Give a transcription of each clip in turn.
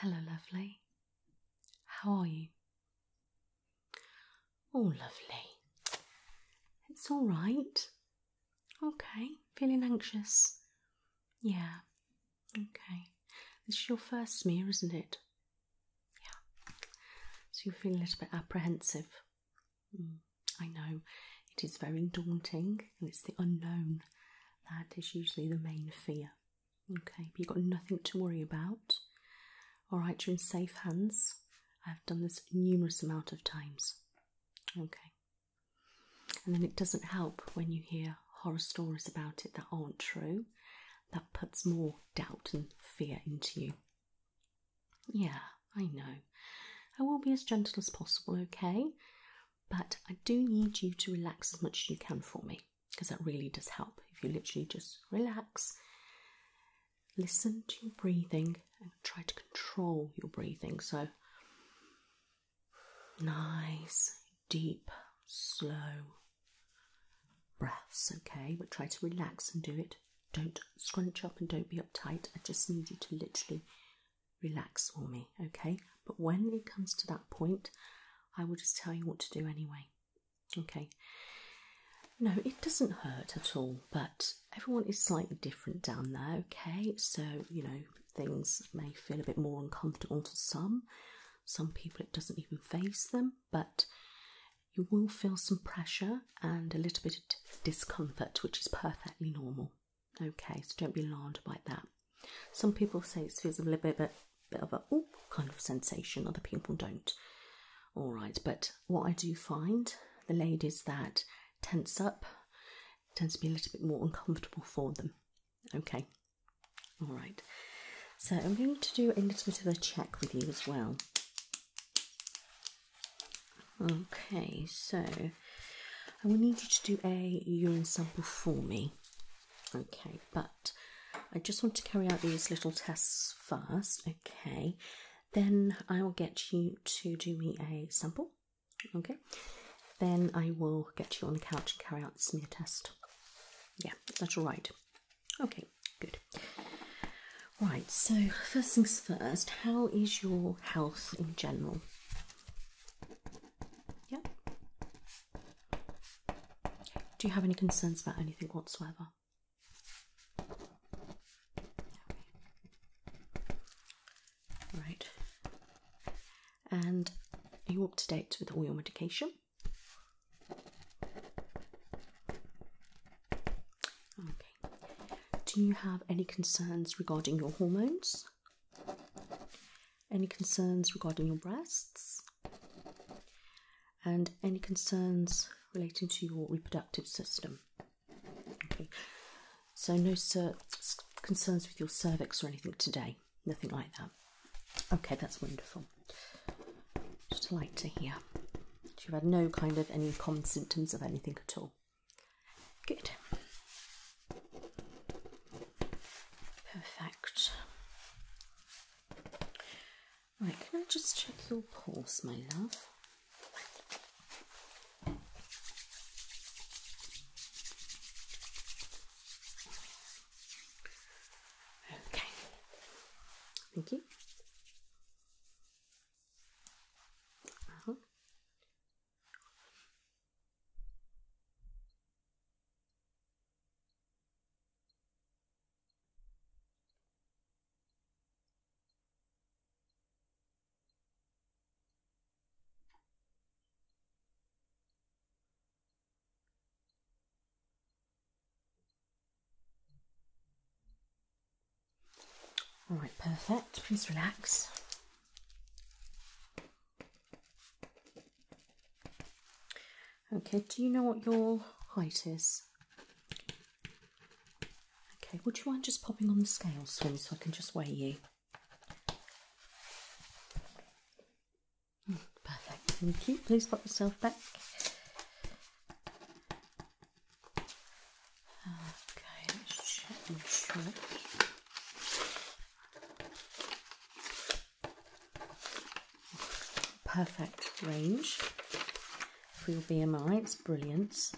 Hello, lovely. How are you? All oh, lovely. It's all right. Okay, feeling anxious. Yeah, Okay, this is your first smear, isn't it? Yeah. So you feel a little bit apprehensive. Hmm, I know it is very daunting, and it's the unknown that is usually the main fear. Okay, but you've got nothing to worry about. All right, you're in safe hands. I've done this numerous amount of times. Okay, and then it doesn't help when you hear horror stories about it that aren't true. That puts more doubt and fear into you. Yeah, I know. I will be as gentle as possible, okay? But I do need you to relax as much as you can for me because that really does help if you literally just relax. Listen to your breathing and try to control your breathing. So, Nice, deep, slow breaths, okay? But try to relax and do it. Don't scrunch up and don't be uptight. I just need you to literally relax for me, okay? But when it comes to that point, I will just tell you what to do anyway, okay? No, it doesn't hurt at all, but everyone is slightly different down there, okay? So, you know, things may feel a bit more uncomfortable to some. Some people it doesn't even face them, but you will feel some pressure and a little bit of discomfort, which is perfectly normal. Okay, so don't be alarmed by that. Some people say it feels a little bit, bit, bit of a oh kind of sensation, other people don't. All right, but what I do find the ladies that tense up tends to be a little bit more uncomfortable for them. Okay, all right. So I'm going to do a little bit of a check with you as well. Okay, so I will need you to do a urine sample for me. Okay, but I just want to carry out these little tests first. Okay, then I will get you to do me a sample Okay, then I will get you on the couch and carry out the smear test. Yeah, that's right. Okay, good. Right, so first things first, how is your health in general? Yeah. Do you have any concerns about anything whatsoever? Right and are you up to date with all your medication? Okay. Do you have any concerns regarding your hormones? Any concerns regarding your breasts? And any concerns relating to your reproductive system? Okay. So no concerns with your cervix or anything today. Nothing like that. Okay, that's wonderful. Just like to hear. you've had no kind of any common symptoms of anything at all. Good. Perfect. Right, can I just check your pulse, my love? Okay. Thank you. Uh -huh. All right, perfect. Please relax. Okay, do you know what your height is? Okay, would you mind just popping on the scale, Swim, so I can just weigh you? Perfect. Thank Please pop yourself back. Okay, Perfect range for your BMI, it's brilliant.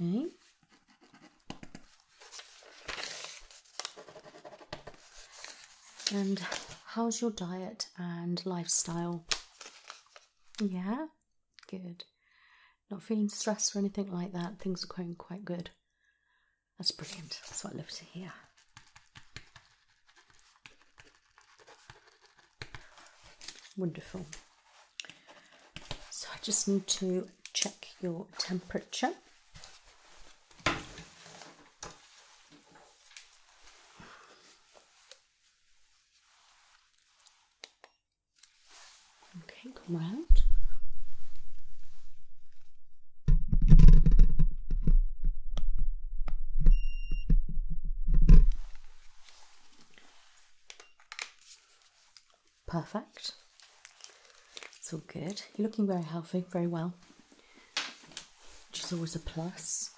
Okay. And how's your diet and lifestyle? Yeah, good. Not feeling stressed or anything like that. Things are going quite good. That's brilliant. That's what I love to hear. Wonderful. So I just need to check your temperature. Okay, come round. Perfect. It's all good. You're looking very healthy, very well, which is always a plus.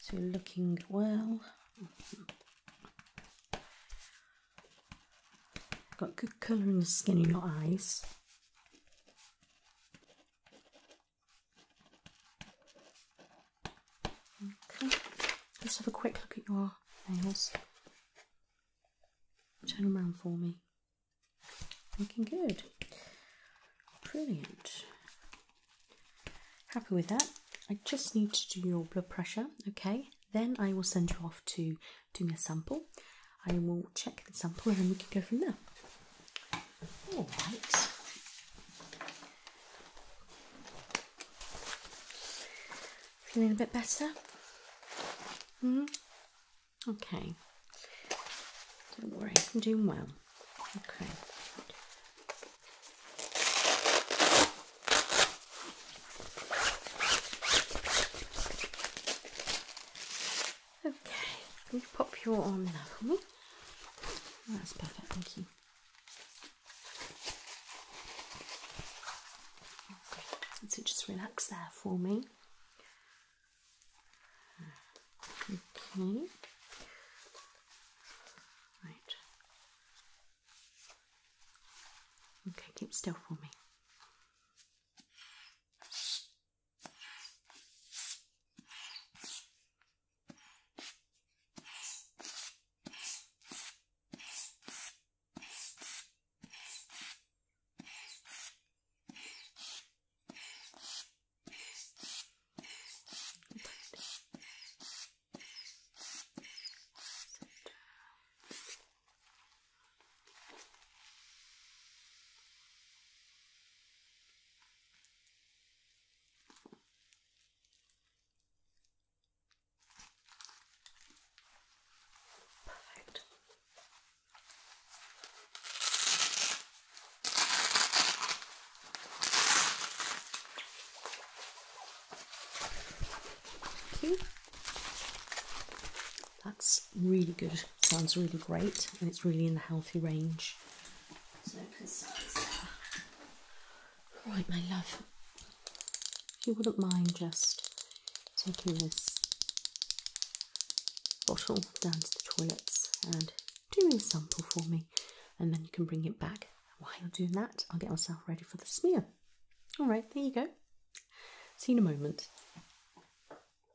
So you're looking well. Got good colour in the skin in your eyes. Okay, let's have a quick look at your nails. Turn them around for me. Looking good. Brilliant. Happy with that. I just need to do your blood pressure, okay? Then I will send you off to do me a sample I will check the sample and then we can go from there. All right. Feeling a bit better? hmm? Okay. Don't worry, I'm doing well. Okay. Okay, can you pop your arm now for me? That's perfect, thank you. so just relax there for me. Okay. Right. Okay, keep still for me. Put it down. Perfect. Thank you. That's really good, sounds really great, and it's really in the healthy range. So concise there. Right, my love, you wouldn't mind just taking this bottle down to the toilets and doing a sample for me, and then you can bring it back. While you're doing that, I'll get myself ready for the smear. All right, there you go. See you in a moment.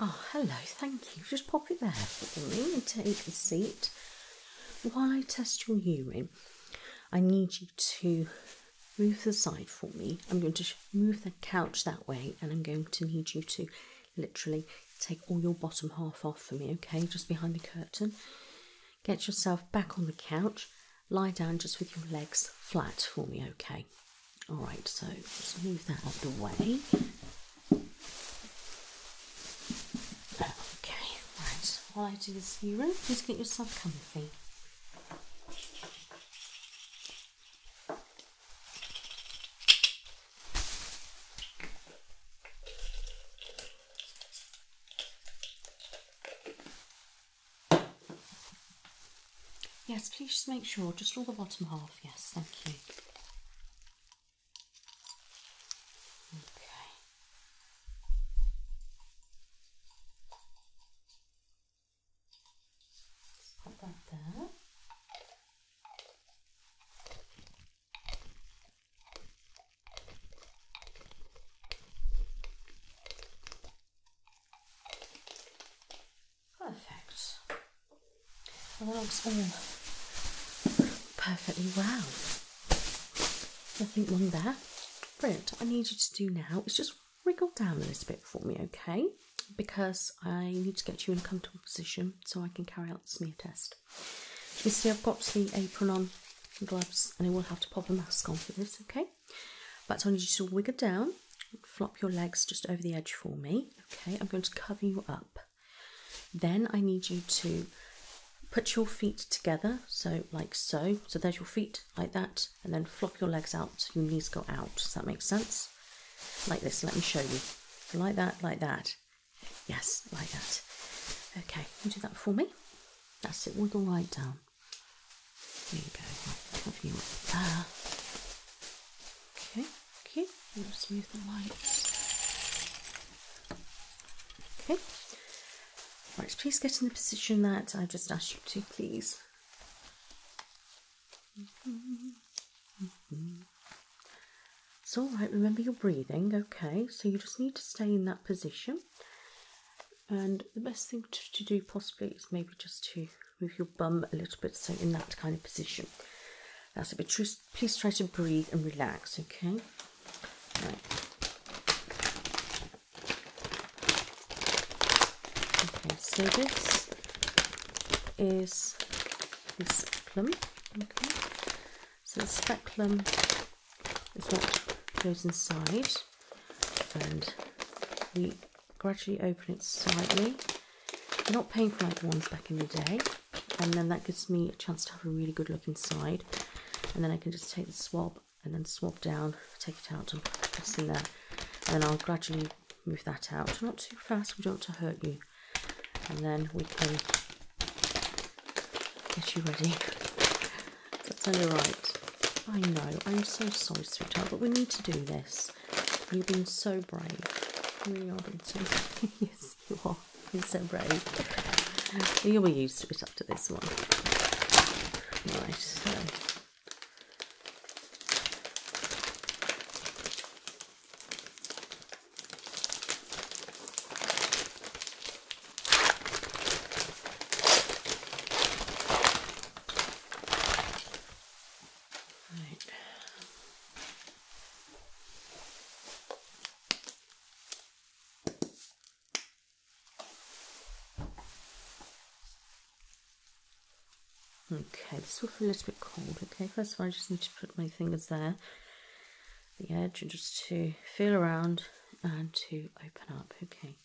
Oh, hello, thank you. Just pop it there for me and take a seat. While I test your urine, I need you to move the side for me. I'm going to move the couch that way and I'm going to need you to literally take all your bottom half off for me, okay? Just behind the curtain. Get yourself back on the couch. Lie down just with your legs flat for me, okay? All right, so just move that out of the way. Okay, right. While I do this room, please get yourself comfy. Yes, please just make sure, just all the bottom half. Yes, thank you. Okay. Stop right there. Perfect. The log's all perfectly well. Nothing wrong there. Brilliant. I need you to do now is just wriggle down a little bit for me, okay? Because I need to get you in a comfortable position so I can carry out the smear test. You see, I've got the apron on, gloves, and I will have to pop a mask on for this, okay? But I need you to wiggle down, flop your legs just over the edge for me, okay? I'm going to cover you up then I need you to put your feet together, so like so. So there's your feet like that, and then flop your legs out your knees go out. Does that make sense? Like this, let me show you. like that, like that. Yes, like that. Okay, you do that for me. That's it, wiggle right down. There you go. Okay. Okay, I'm going smooth the lights. Okay. Right, please get in the position that I just asked you to, please. It's mm-hmm. all right, remember your breathing, okay? So you just need to stay in that position. And the best thing to do possibly is maybe just to move your bum a little bit, so in that kind of position. That's a it. true. please try to breathe and relax, okay? Okay, so this is this speculum. Okay, so the speculum is what goes inside, and we gradually open it slightly I'm not paying for like the ones back in the day. And then that gives me a chance to have a really good look inside. And then I can just take the swab and then swab down, take it out and it in there. And then I'll gradually move that out. Not too fast, we don't want to hurt you. And then we can get you ready. That's only right. I know, I'm so sorry, sweetheart, but we need to do this. You've been so brave. You are so brave. yes, you are. You're so brave. You'll be used to it up to this one. Right, Okay, this will feel a little bit cold. Okay, first of all, I just need to put my fingers there, the edge, just to feel around and to open up. Okay.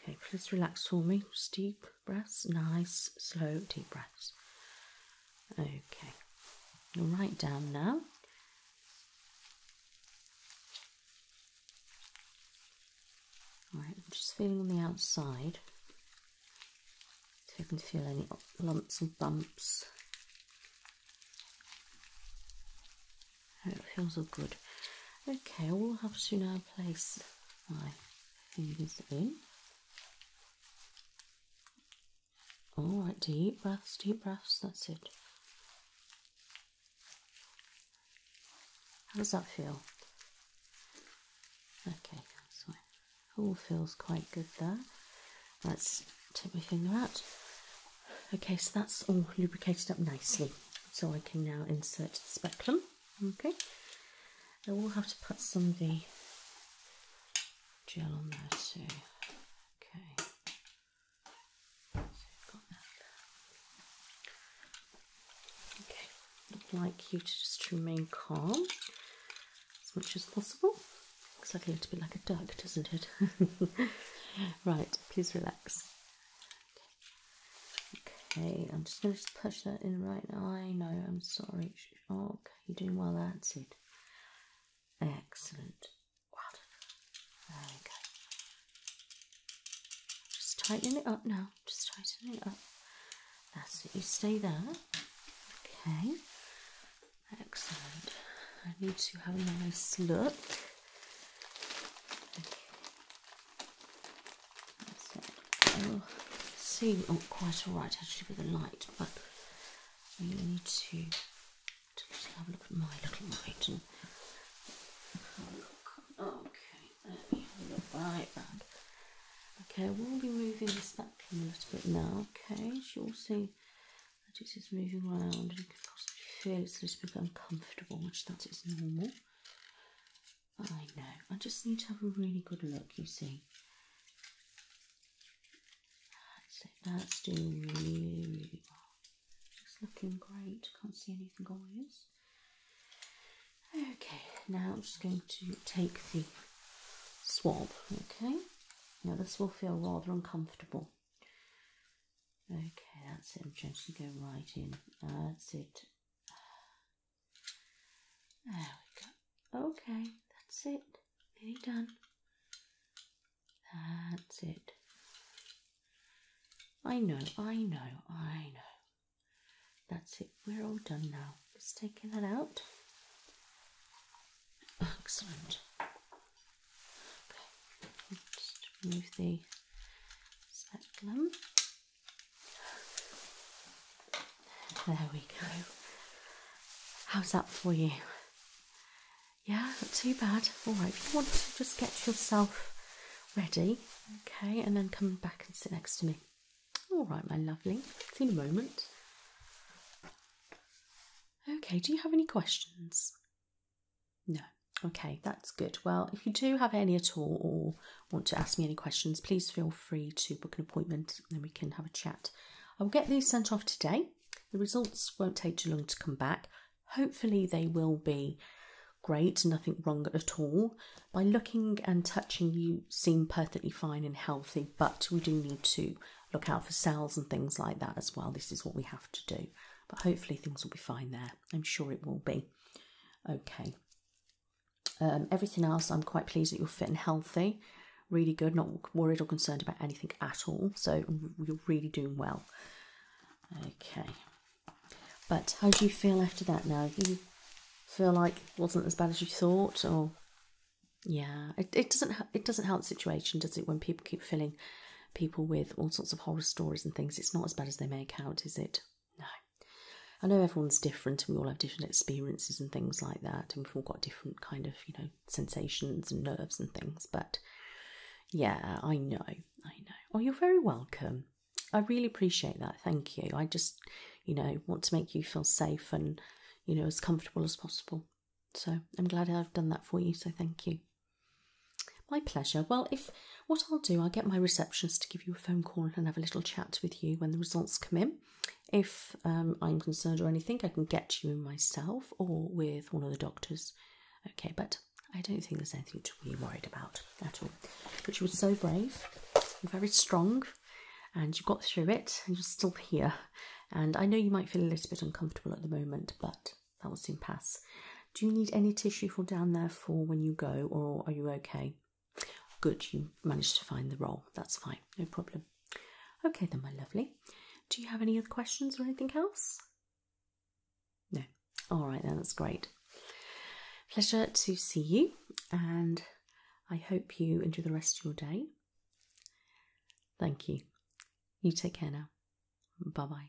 Okay, please relax for me. Just breaths. Nice, slow, deep breaths. Okay, you'll write down now. Alright, I'm just feeling on the outside. See if I can feel any lumps and bumps. it feels all good. Okay, I will have to now place my fingers in. All right, deep breaths, deep breaths. That's it. How does that feel? Okay, all feels quite good there. Let's take my finger out. Okay, so that's all lubricated up nicely. So I can now insert the speculum. Okay, I will have to put some of the gel on there too. Okay, Okay, I'd like you to just remain calm as much as possible. Looks like a little bit like a duck, doesn't it? right, please relax. Okay, I'm just going to push that in right now. I know, I'm sorry. Oh, okay, you're doing well answered. Excellent. There we go. Just tightening it up now. Just tightening it up. That's it. You stay there. Okay. Excellent. I need to have a nice look. So seem oh, oh, quite alright actually with the light, but we need to, have a look at my little light and Okay, let me have a look back. Okay, we'll be moving this spectrum a little bit now. Okay, you'll see that it is moving around and you can feel it's a little bit uncomfortable, which that is normal. I know. I just need to have a really good look, you see. that's doing really, well. It's looking great. Can't see anything obvious. Okay, now I'm just going to take the swab, okay? Now this will feel rather uncomfortable. Okay, that's it. I'm just going to go right in. That's it. There we go. Okay, that's it. Nearly done. That's it. I know, I know, I know. That's it. We're all done now. Just taking that out. Excellent. just remove the speculum. There we go. How's that for you? Yeah, not too bad. All right, if you want to just get yourself ready, okay, and then come back and sit next to me. All right, my lovely. See you in a moment. Okay, do you have any questions? No. Okay, that's good. Well, if you do have any at all, or want to ask me any questions, please feel free to book an appointment and then we can have a chat. I'll get these sent off today. The results won't take too long to come back. Hopefully, they will be great, nothing wrong at all. By looking and touching, you seem perfectly fine and healthy, but we do need to look out for cells and things like that as well. This is what we have to do. But hopefully, things will be fine there. I'm sure it will be. Okay. Um, everything else, I'm quite pleased that you're fit and healthy. Really good, not worried or concerned about anything at all. So you're really doing well. Okay. But how do you feel after that now? You feel like wasn't as bad as you thought, or yeah, it, it doesn't it doesn't help the situation, does it? When people keep filling people with all sorts of horror stories and things, it's not as bad as they make out, is it? No. I know everyone's different and we all have different experiences and things like that, and we've all got different kind of, you know, sensations and nerves and things, but yeah, I know, I know. Oh, you're very welcome. I really appreciate that. Thank you. I just, you know, want to make you feel safe and, you know, as comfortable as possible. So I'm glad I've done that for you. So thank you. My pleasure. Well, if what I'll do, I'll get my receptionist to give you a phone call and have a little chat with you when the results come in. If um, I'm concerned or anything, I can get you myself or with one of the doctors. Okay, but I don't think there's anything to be worried about at all. But you were so brave, very strong, and you got through it, and you're still here. And I know you might feel a little bit uncomfortable at the moment, but that will soon pass. Do you need any tissue for down there for when you go, or are you okay? Good, you managed to find the role. That's fine, no problem. Okay, then, my lovely. Do you have any other questions or anything else? No. All right, then, that's great. Pleasure to see you, and I hope you enjoy the rest of your day. Thank you. You take care now. Bye bye.